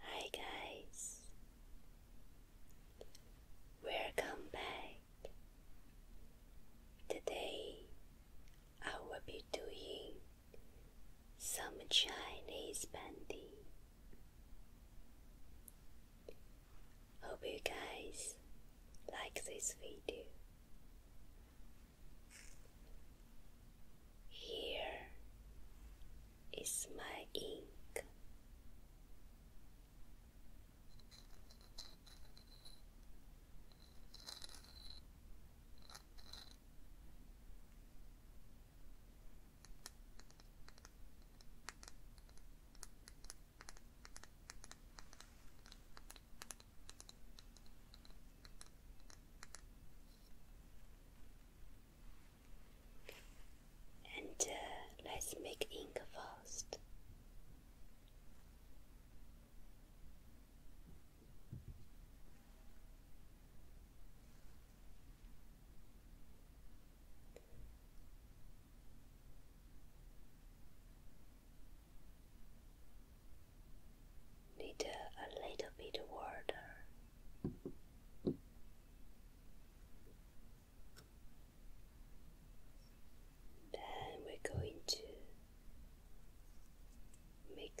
Hi guys, welcome back. Today I will be doing some Chinese bandy. Hope you guys like this video. Here is my ink. And uh, let's make ink first. Need uh, a little bit water then we're going to make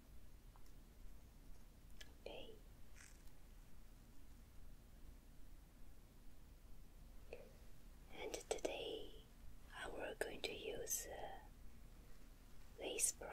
And today I will going to use this brush.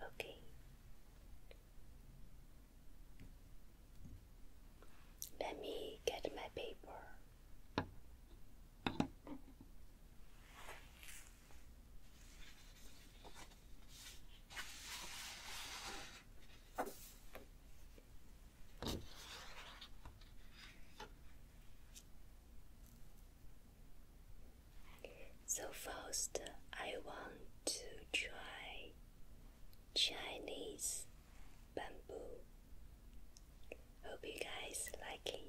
Okay. Let me get my paper. So first, I want to try Chinese bamboo. Hope you guys like it.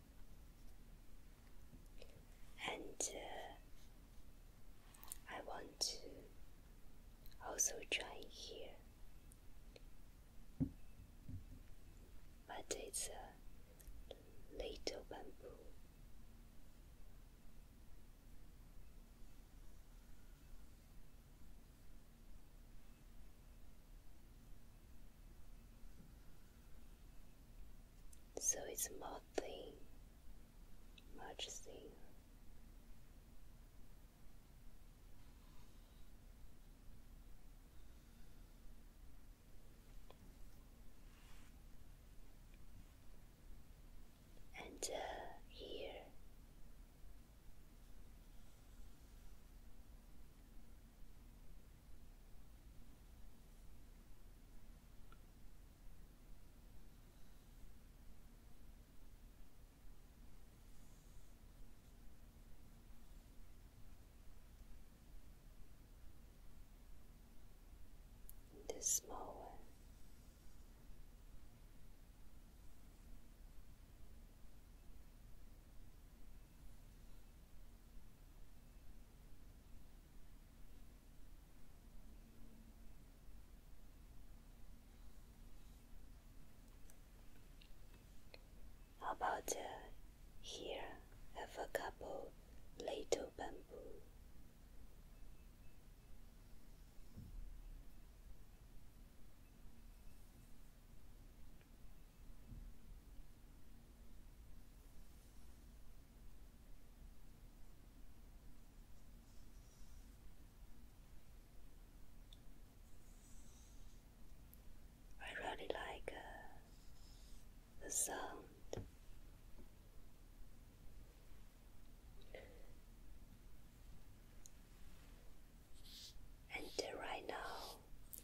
and uh, I want to also join here, but it's a little bamboo so it's more thing, much thing, And uh, here the small one. How about uh, here? Have a couple little bamboo. I really like uh, the sound. And uh, right now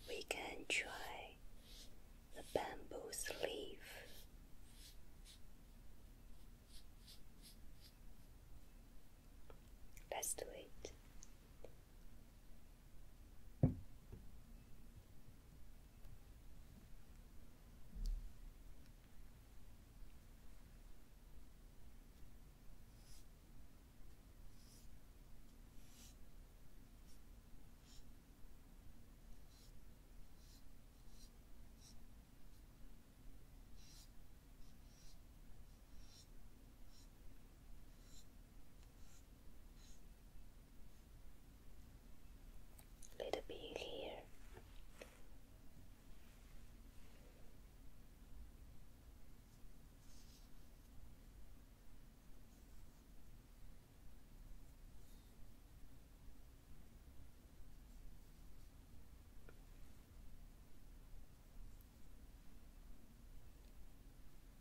we can try the bamboo's leaf. Let's do Little bit here.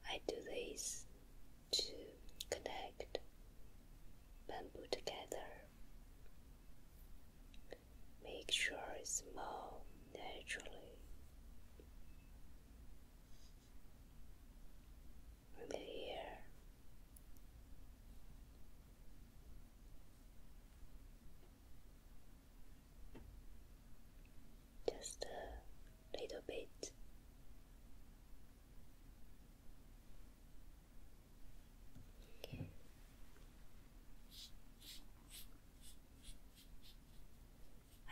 I do this to connect bamboo together, make sure it's more naturally from Just a little bit.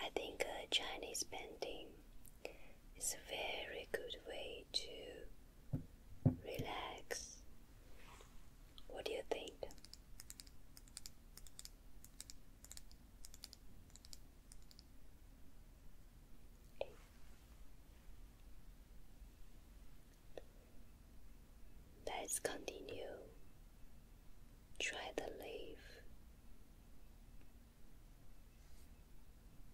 I think a Chinese painting is a very good way to Relax. What do you think? Let's continue. Try the leaf.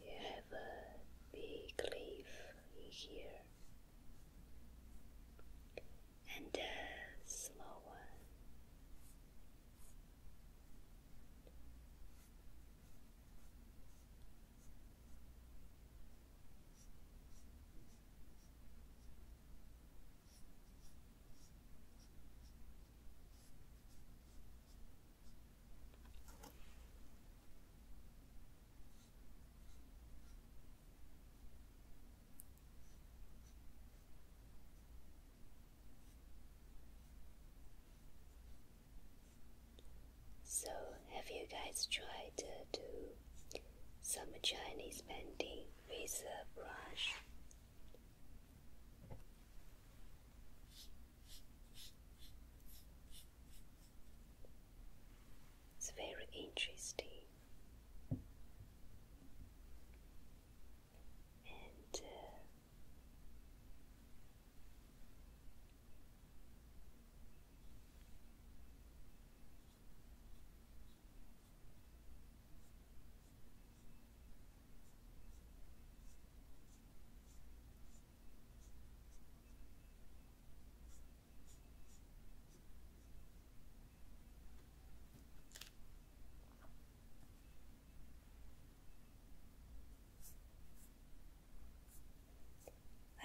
You have a big leaf here and a small one. So, have you guys tried to do some Chinese painting with a brush? It's very interesting. Uh,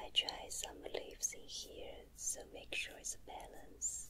I try some leaves in here, so make sure it's a balance.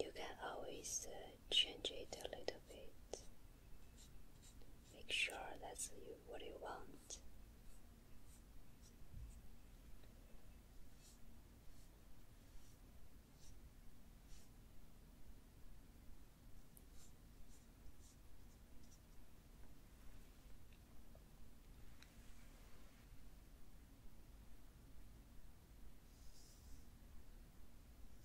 You can always uh, change it a little bit. Make sure that's you, what you want.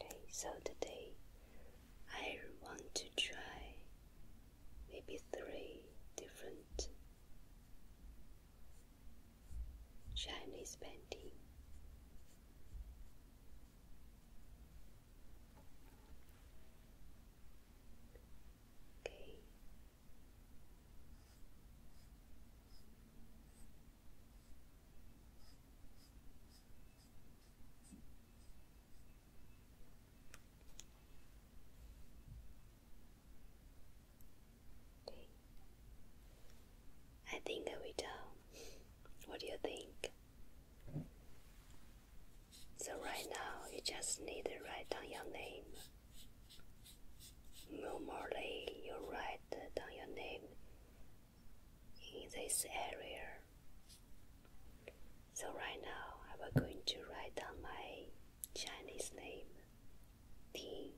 Okay, so today I want to try maybe three different Chinese painting. Okay. I think I will what do you think? So right now you just need to write down your name. Normally you write down your name in this area. So right now I am going to write down my Chinese name T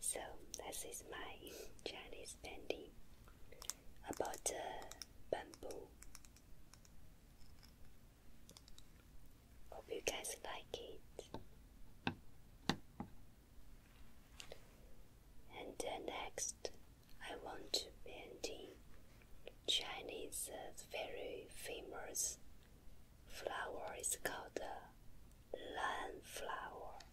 so this is my Chinese painting about uh, bamboo. Hope you guys like it. And uh, next, I want to paint Chinese uh, very famous flower. is called the uh, lan flower.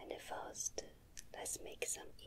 And first, let's make some ink.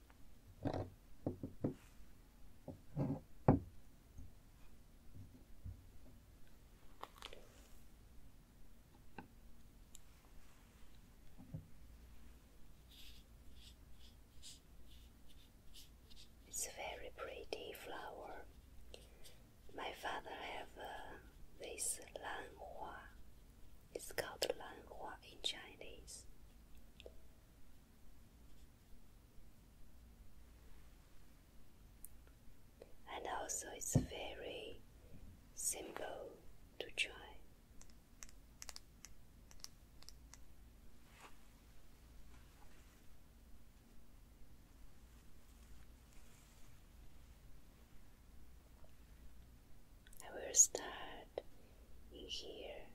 It's a very pretty flower. My father have uh, this It's called lanhua in Chinese and also it's very simple to try. I will start in here.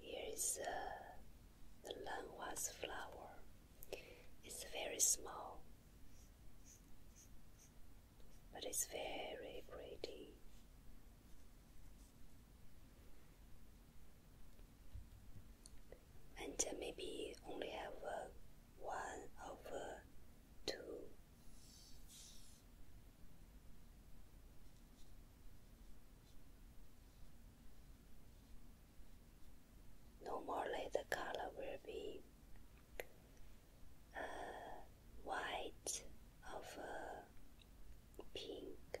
Here is uh, the lanwas flower. It's very small, but it's very pretty. And uh, maybe only have uh, one over two. Normally, the color will be uh, white over pink.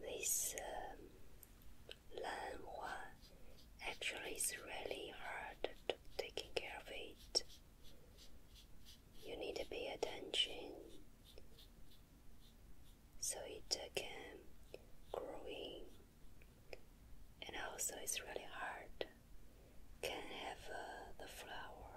This um, actually is really hard to taking care of it. You need to pay attention. So it took him growing, and also it's really hard. Can have uh, the flowers.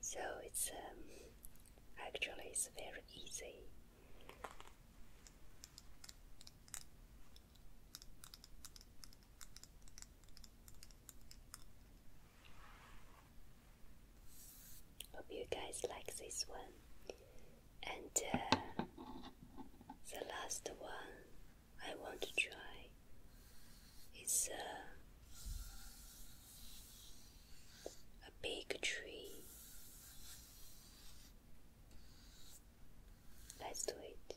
So it's um, actually it's very easy. Hope you guys like this one. And uh, the last one I want to try is uh, a big tree. Let's do it.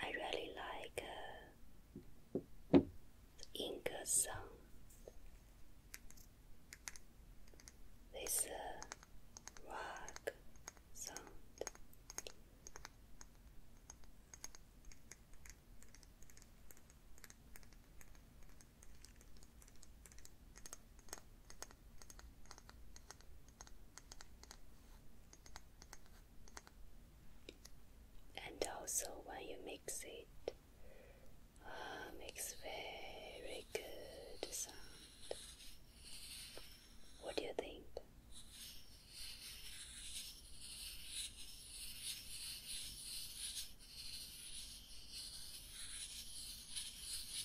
I really like the uh, Inca song with a uh, rock sound. And also, when you mix it, ah, makes very good sound. What do you think?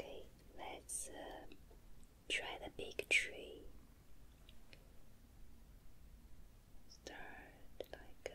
Okay, let's uh, try the big tree. Start like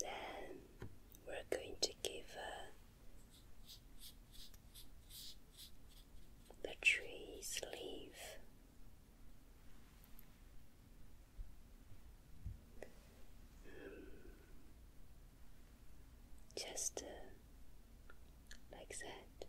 Then we're going to give her the tree's leaf just uh, like that.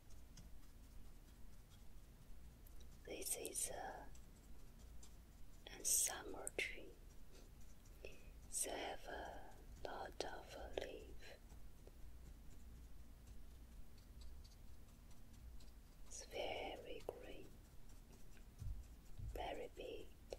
This is a, summer tree. They have lot of leaves. It's very green, very big.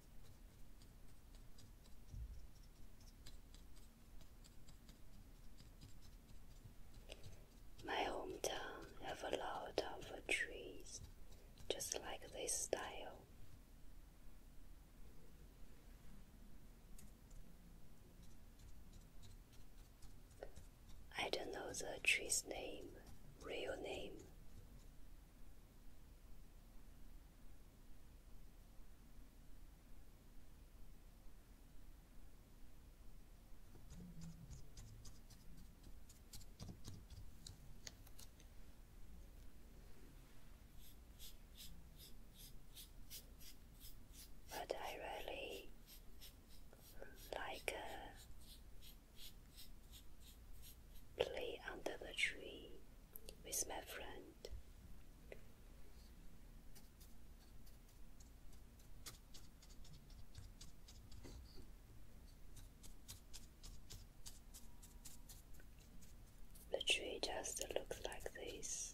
My hometown have a lot of trees just like this style. I don't know the tree's name, real name. But I really like uh, play under the tree with my friend. The tree just looks like this.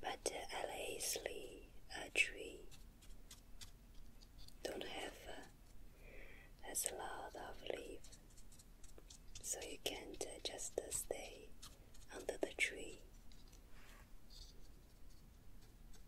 But the uh, LA a tree don't have uh, as a lot of leaves, so you can't uh, just stay under the tree.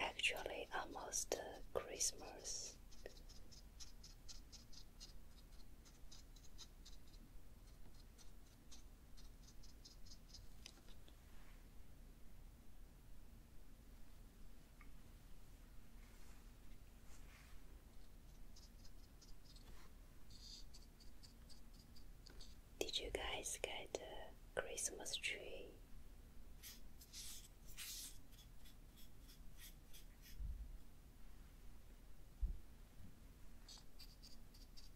Actually, almost uh, Christmas. Did you guys get a Christmas tree?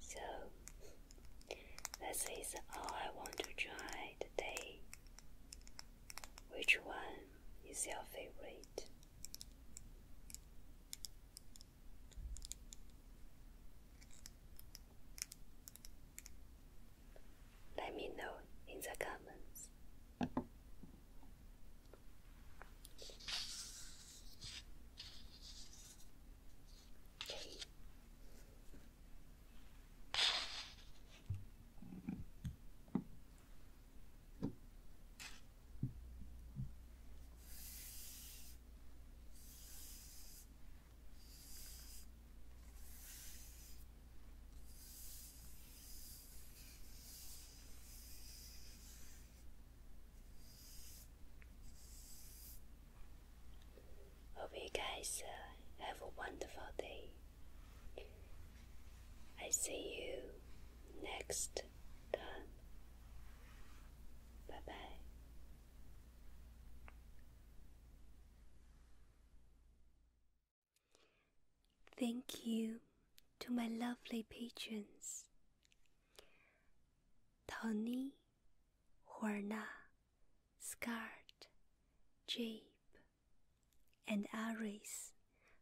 So, this is all I want to try today. Which one is your favorite? Let me know in the comments. Hope you guys uh, have a wonderful day. I see you next time. Bye bye. Thank you to my lovely patrons Tony, Horna, Scarlet, Jabe and others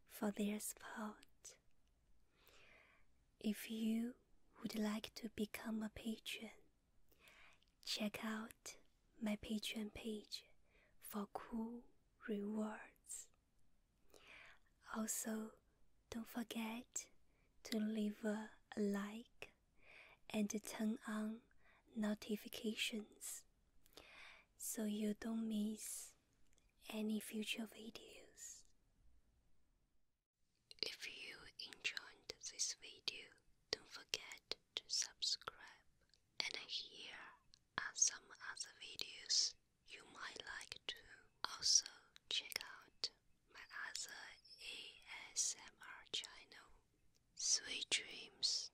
for their support. If you would like to become a patron, check out my Patreon page for cool rewards. Also, don't forget to leave a like and turn on notifications so you don't miss any future videos. If you enjoyed this video, don't forget to subscribe. And here are some other videos you might like to also check out my other ASMR channel, Sweet Dreams.